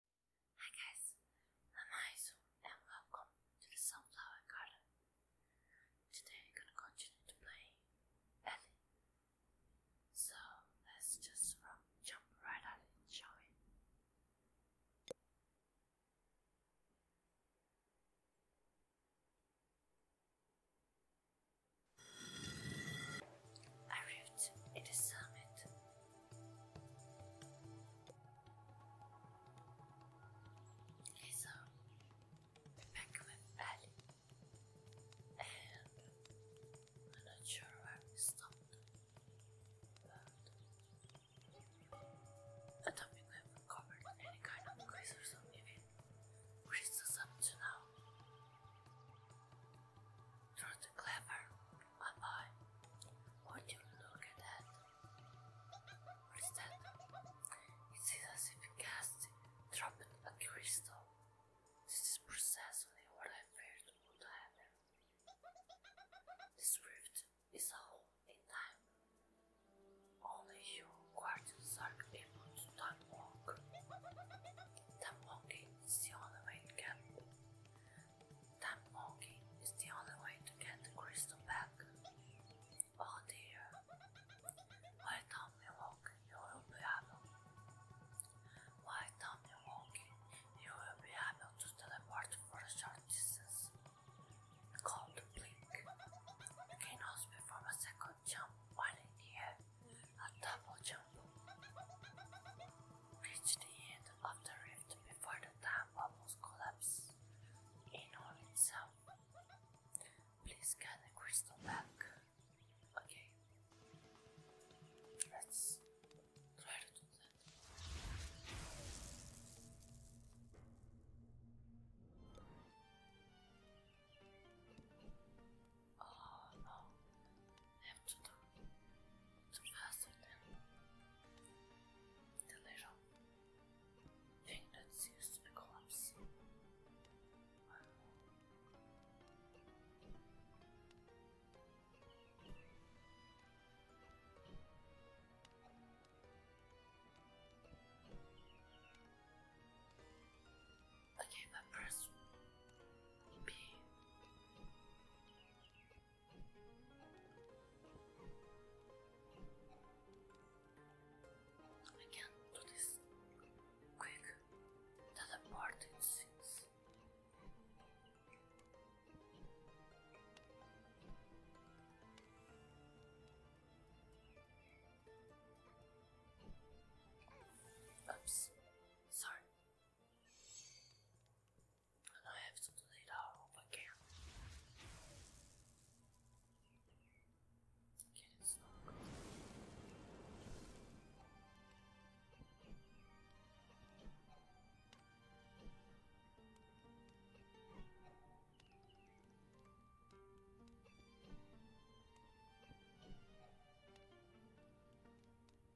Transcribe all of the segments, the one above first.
Hi guys, I'm Aizu and welcome to the Sunflower Garden. Today we're gonna continue to play Ellie. So let's just jump right at it, shall we? Arrived at summit Lisa, we're um, back with Ali, and I'm not sure where we stopped, but I don't think we haven't any kind of quiz or something, which is up to now. Through clever my boy, won't you look at that? What is that? It is as if a cast dropped a crystal. This is precisely what I feared would happen. This rift is all in time. Only you quartz dark people do not walk. That walking is the only way Time walking is the only way to get the crystal back. Oh dear. Why don't we walk? You will be able. Why do walking? You will be able to teleport for a short distance. Called blink. You also perform a second jump while in the air. A double jump. Reach the end of the before the dam almost collapsed in on itself. Please get the crystal back. Okay. Let's try to do that. Oh no. Epcot surpassing the little thing that's used to collapse. Okay, but B. I can't do this quick. Teleport it seems. Oops, sorry and I have to delete our whole account. Okay,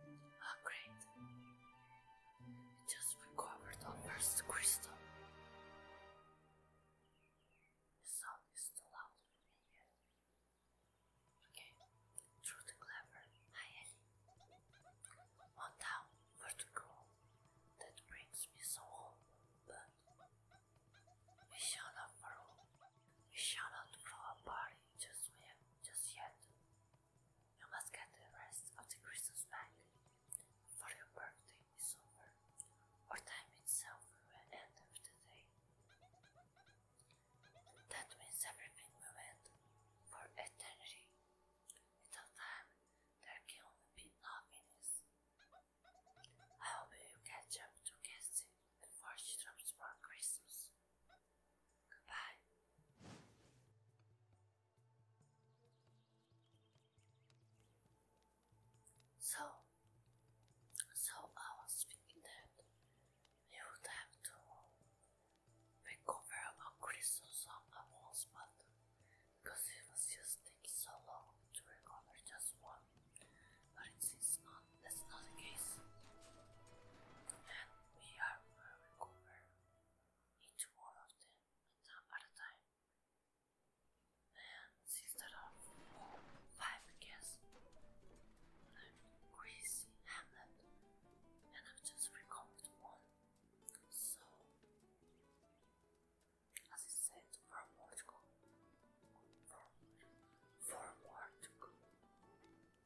Oh, great. just recovered our first crystal. The is too loud for me Okay, through the clever. Hi, Ellie. On down, vertical. That brings me so home, but we shall not grow. We shall not grow apart just, just yet. You must get the rest of the Christmas bag, for your birthday is over, or time itself will end of the That means everything will end for eternity. Without time, there can only be nothingness. I hope you catch up to Cassie before she drops for Christmas. Goodbye. So, so I was thinking that we would have to recover on Christmas on the walls, but because it was just taking so long to recover just one, but it seems not that's not the case. And we are will each one of them at a time. And six that are five I guess. i and I've just recovered one. So as I said, four more to go. four more to go.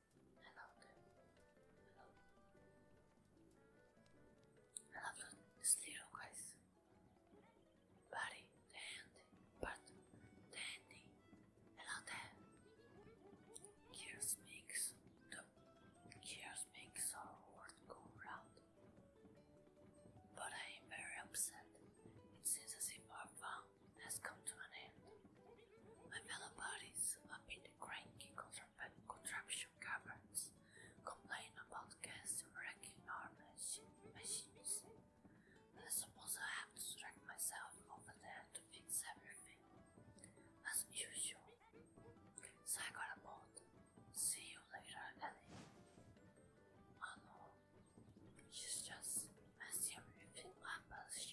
Hello. Hello. I love this little guys. Buddy, Dandy, but Dandy. Hello there. Gears makes the gears makes our world go round. But I am very upset. It seems as if i our found has come to an end. My fellow bodies up in the cranky contraption caverns complain about gas wrecking our machines. I suppose I have to drag myself over there to fix everything, as usual. I got a boat. See you later, Ellie. Oh no, she's just messing everything up as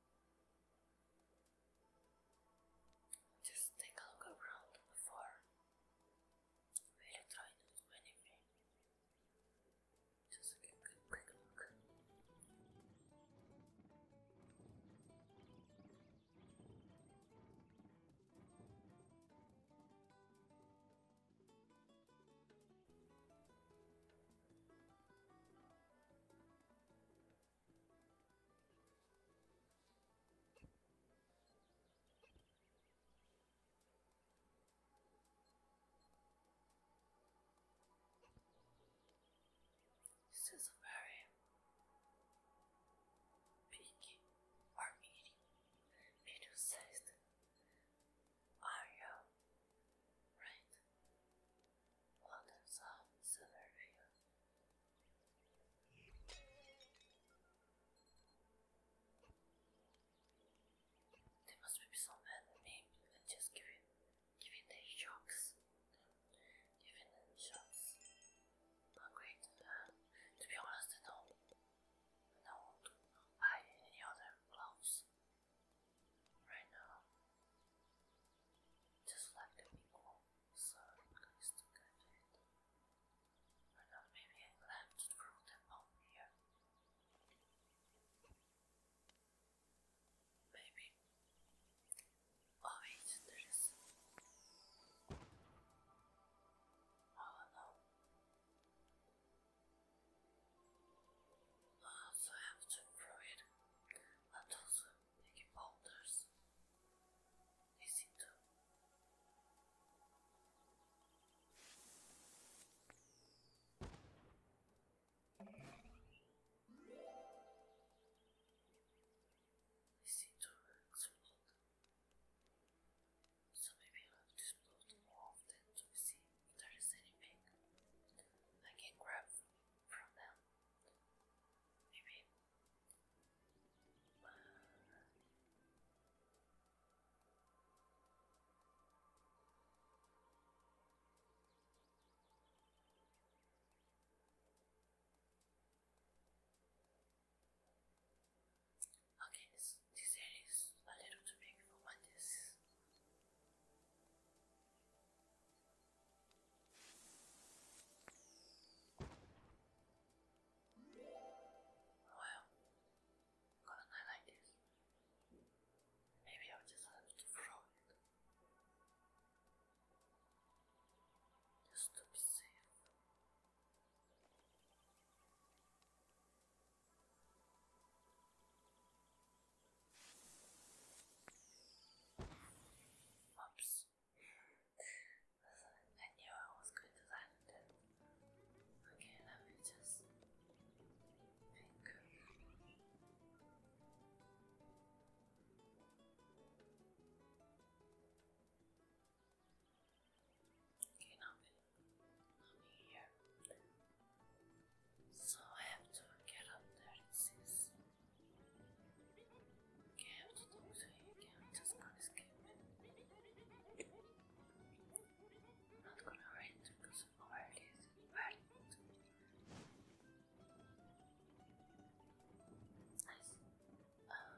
Just take a look around before really trying to do anything. Just a good quick look. This is a very big or medium, medium sized area, right? Well, that's um, There must be some bad and just give giving the shocks. Giving them shocks. Not great. Uh, to be honest, I don't know I any other gloves right now. Just like the big so I'm to get it. Right now, maybe I left through the bomb here. Maybe. Oh, wait, there is. Oh no. I also have to throw it, but also making boulders easy to. Easy to explode. So maybe i have to explode more often to see if there is anything I can grab from from them. Okay, this, this a little too big for what this well, got a night like this. Maybe i just have to throw it. Just to be safe. Oops. I knew I was going to land it. Okay, let me just think. Okay, now me, now me here. So I have to get up there, it says. I have to do so you can just can't escape. I'm not escape i not going to read because of where Nice. Um.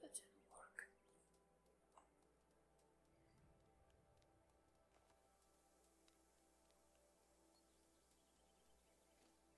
That didn't work.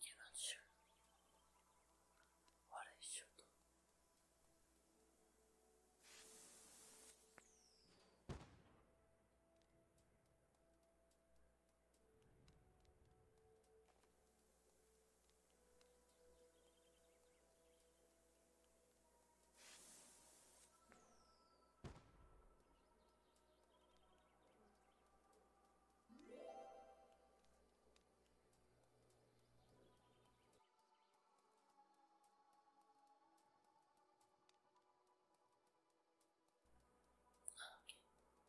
You're not sure what I should do.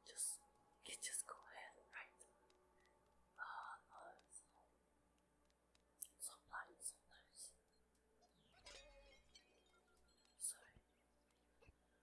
Okay, just you just go ahead, right? Ah, uh, no, it's so blind Sorry.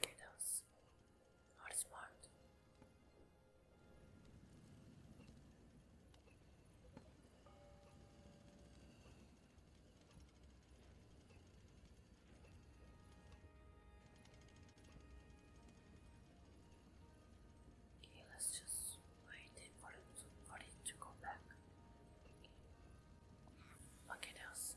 Kiddos are smart. Okay, let's just wait for it to, for it to go back. Okay, else.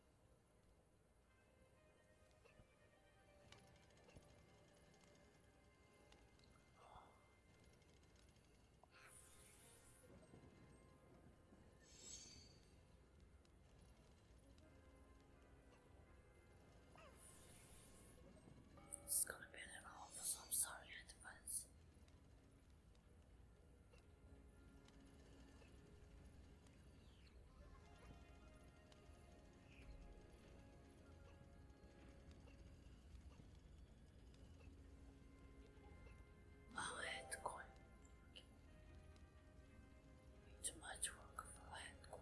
It's gonna be an awful, so I'm sorry in advance. Land coin. It's much work for land coin.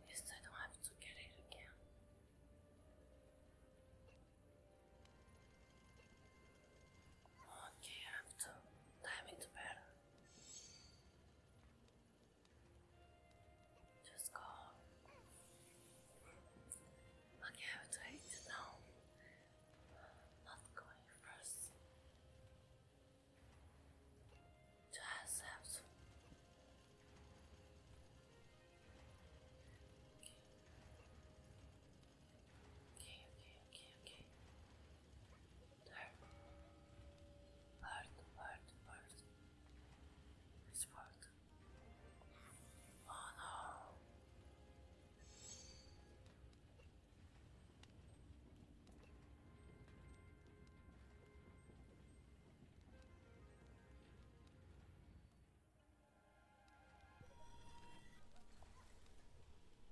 At least I don't have to get it again. Okay, I have to time it better. Just go. Okay, I have to wait. not going first to ourselves. Okay, okay, okay, okay. Third part, part, part. This part. Oh no.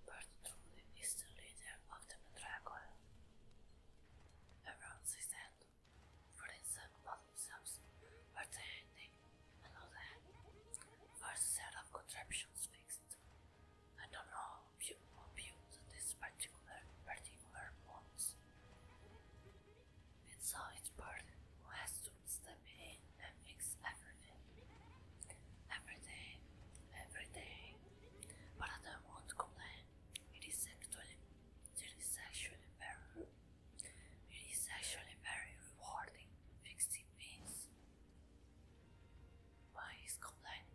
Bertrudi is the leader of the Mandragora. Around his hand, friends and themselves are the ending another First set of contraptions fixed, I don't know if you abuse this particular particular bonus. It's always person who has to step in and fix everything. Every day, every day. But I don't want to complain. It is actually it is actually very it is actually very rewarding fixing things. Why is complaining?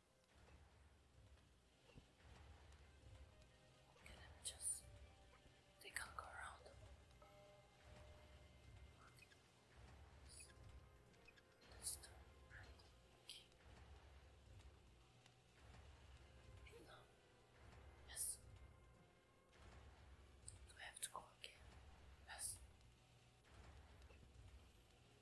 Okay, let just. They can't go around. Yes. Do have to go again? Yes.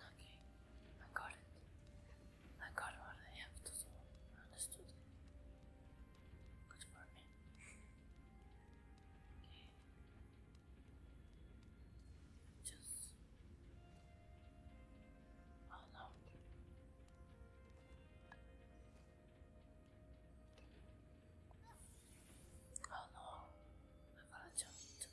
Okay, I got it. I got what I have to do. I understood it. Good for me. Okay. Just. Oh no. Oh no, I gotta jump into